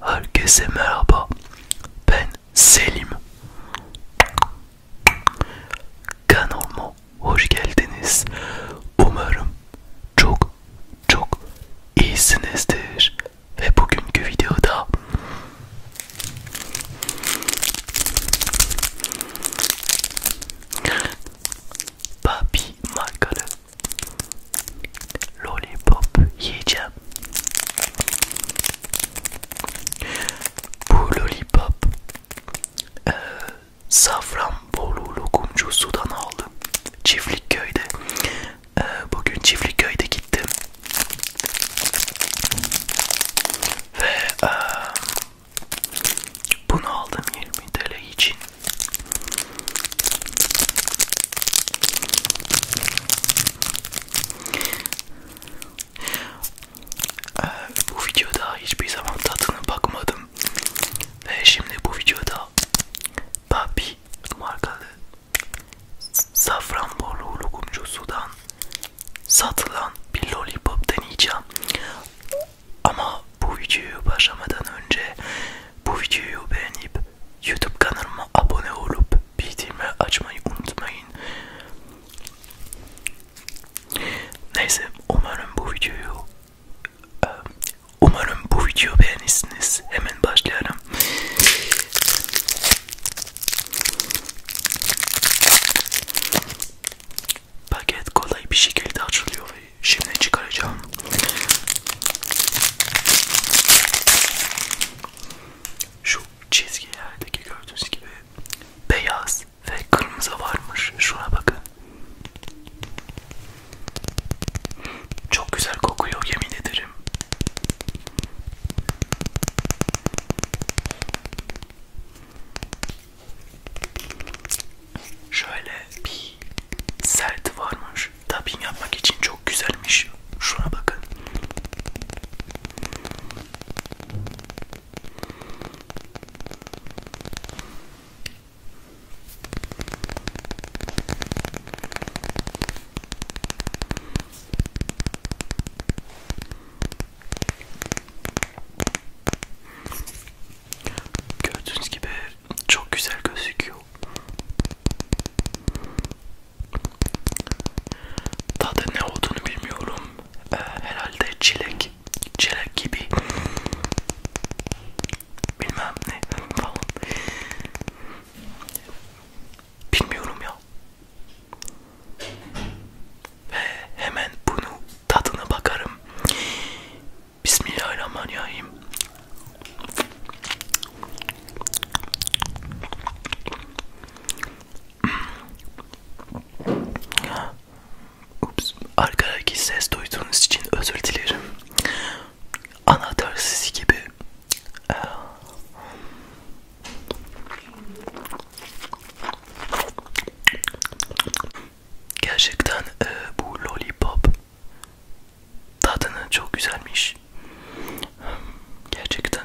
Herkese merhaba. Ben Selim. Kanalıma hoş geldiniz. Umarım çok çok iyisinizdir ve bugünkü videoda Papi markalı lollipop yiyeceğim. Bu lollipop e, Safranbolu lokumcusudan aldım. Çiftlikköy'de. E, bugün Çiftlikköy'de gittim. Ve e, bunu aldım 20 TL için. E, bu videoda hiçbir zaman tadına bakmadım. Ve şimdi bu videoda Papi markalı Safranbolu lokumcusudan satılan bir lollipop deneyeceğim. Ama bu videoyu başlamadan önce bu videoyu beğenip YouTube kanalıma abone olup bildirimi açmayı unutmayın. Neyse umarım bu videoyu e, umarım bu videoyu beğenirsiniz. Hemen başlayalım. Paket kolay bir şekilde açılıyor. Şimdi çıkaracağım. Şu çizgilerdeki gördüğünüz gibi beyaz ve kırmızı varmış. Şuna bakın. Çok güzel kokuyor yemin ederim. Şöyle bir sert varmış. Tapping yapmak için çok güzelmiş. Şuna bakın. Gördüğünüz gibi çok güzel gözüküyor. Tadı ne olduğunu bilmiyorum. Ee, herhalde çilek, çilek gibi. Bilmem ne falan. Bilmiyorum ya. Ve hemen bunu tadına bakarım. Bismillahirrahmanirrahim. Ups, arkadaki ses duyduğunuz için özür dilerim. Anahtar sesi gibi Gerçekten e, bu lollipop tadını çok güzelmiş. Gerçekten.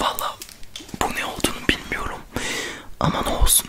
Valla bu ne olduğunu bilmiyorum. Ama ne olsun.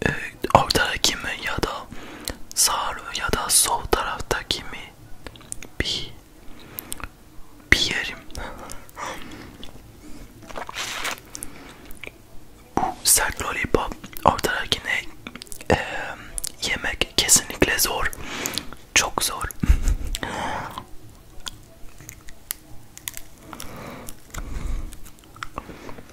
e, ee, ortadaki mi ya da sağ ya da sol taraftaki mi bir bir yerim. Bu sert lollipop ortadakine e, yemek kesinlikle zor. Çok zor.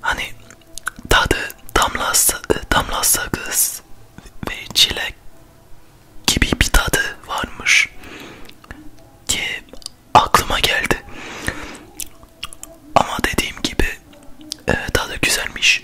Hani tadı damlası, e, damlası kız ve çilek gibi bir tadı varmış ki aklıma geldi. Ama dediğim gibi e, tadı güzelmiş.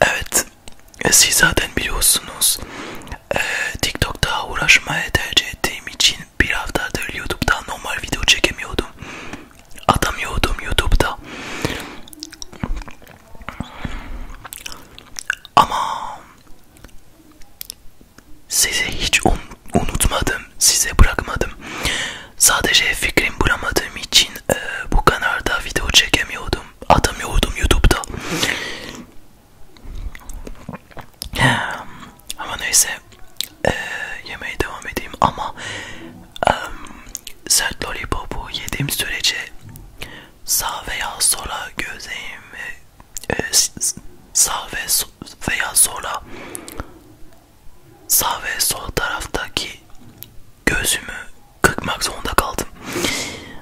Evet, siz zaten biliyorsunuz e, TikTok'ta uğraşmaya tercih ettiğim için bir haftadır YouTube'da normal video çekemiyordum. Atamıyordum YouTube'da. Ama sizi hiç un unutmadım, size bırakmadım. Sadece fikrim bulamadığım için e, bu kanalda video çekemiyordum, atamıyordum YouTube'da. Ama neyse e, yemeğe devam edeyim ama e, sert lollipopu yediğim sürece sağ veya sola gözlerimi e, sağ ve so, veya sola sağ ve sol taraftaki gözümü kırpmak zorunda kaldım.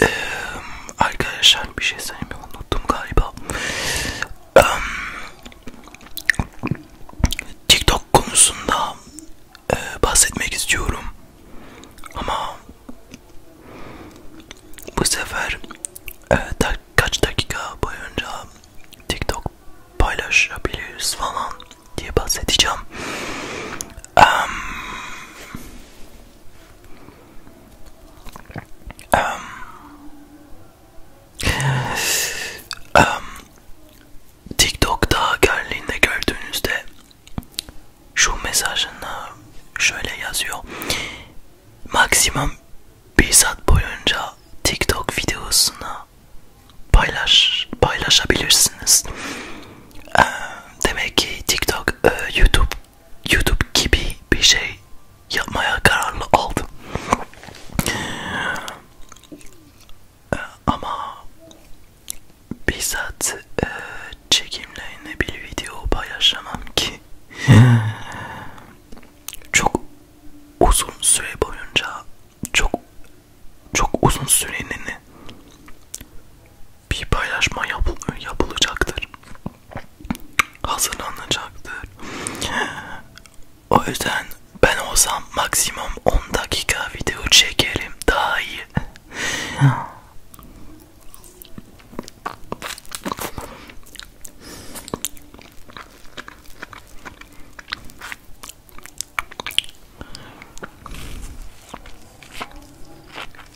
Ee, arkadaşlar bir şey söylemeyi unuttum galiba. Ee, TikTok konusunda e, bahsetmek istiyorum. Ama bu sefer e, da, kaç dakika boyunca TikTok paylaşabiliriz falan diye bahsedeceğim. Um, um, um, TikTok'ta geldiğinde gördüğünüzde şu mesajını şöyle yazıyor. Maksimum bir saat boyunca TikTok videosunu paylaş paylaşabilirsiniz. Demek ki TikTok YouTube YouTube gibi bir şey yapmaya kararlı aldım. Ama bizzat e, çekimlerine bir video paylaşamam ki çok uzun süre boyunca çok çok uzun sürenin bir paylaşma yapıl yapılacaktır. Hazırlanacaktır. O yüzden ben olsam maksimum 10 dakika video çekerim daha iyi.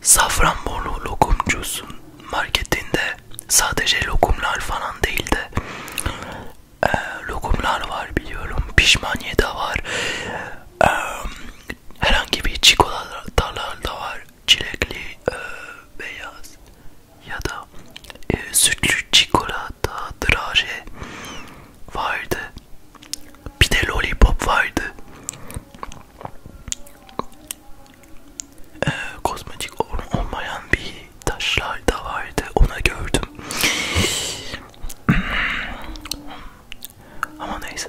Safranbolu lokumcusu marketinde sadece lokumlar falan değildi. Ee, lokumlar var biliyorum. Pişmaniye de var. Ee, herhangi bir çikolatalar da var. Çilekli e, beyaz ya da e, sütlü çikolata draje vardı. Bir de lollipop vardı. Ee, kozmetik olmayan bir taşlar da vardı. Ona gördüm. Ama neyse.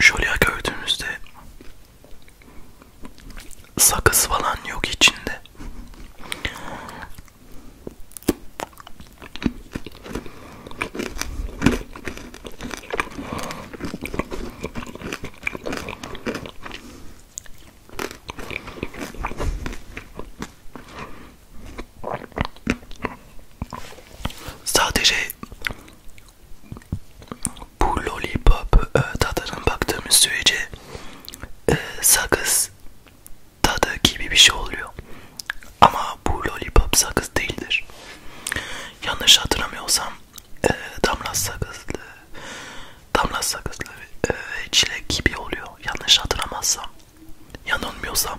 Şöyle gördüğünüzde sakız falan yok içinde. Sadece bu lollipop e, tadına baktığımız sürece e, sakız tadı gibi bir şey oluyor. Ama bu lollipop sakız değildir. Yanlış hatırlamıyorsam e, damla sakızlı, damla sakızlı ve çilek gibi oluyor. Yanlış hatırlamazsam, yanılmıyorsam.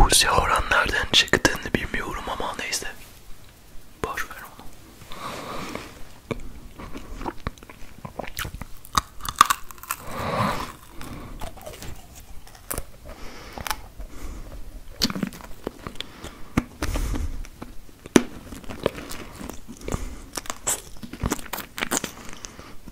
Buse Horan nereden çıktığını bilmiyorum ama neyse. Boş ver onu.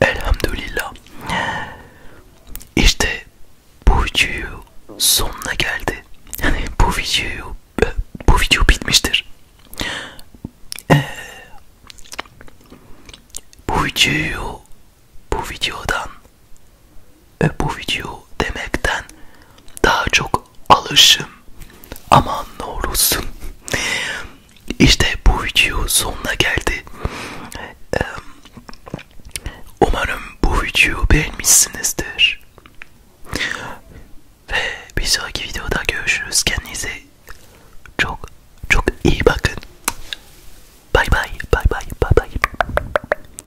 Elhamdülillah. İşte bu videoyu sonuna geldi. Yani bu videoyu bu video bitmiştir. Ee, bu videoyu bu videodan bu video demekten daha çok alışım aman ne olursun işte bu video sonuna geldi umarım bu videoyu beğenmişsinizdir ve bir sonraki videoda görüşürüz kendinize çok çok iyi bakın bay bay bay bay bay bay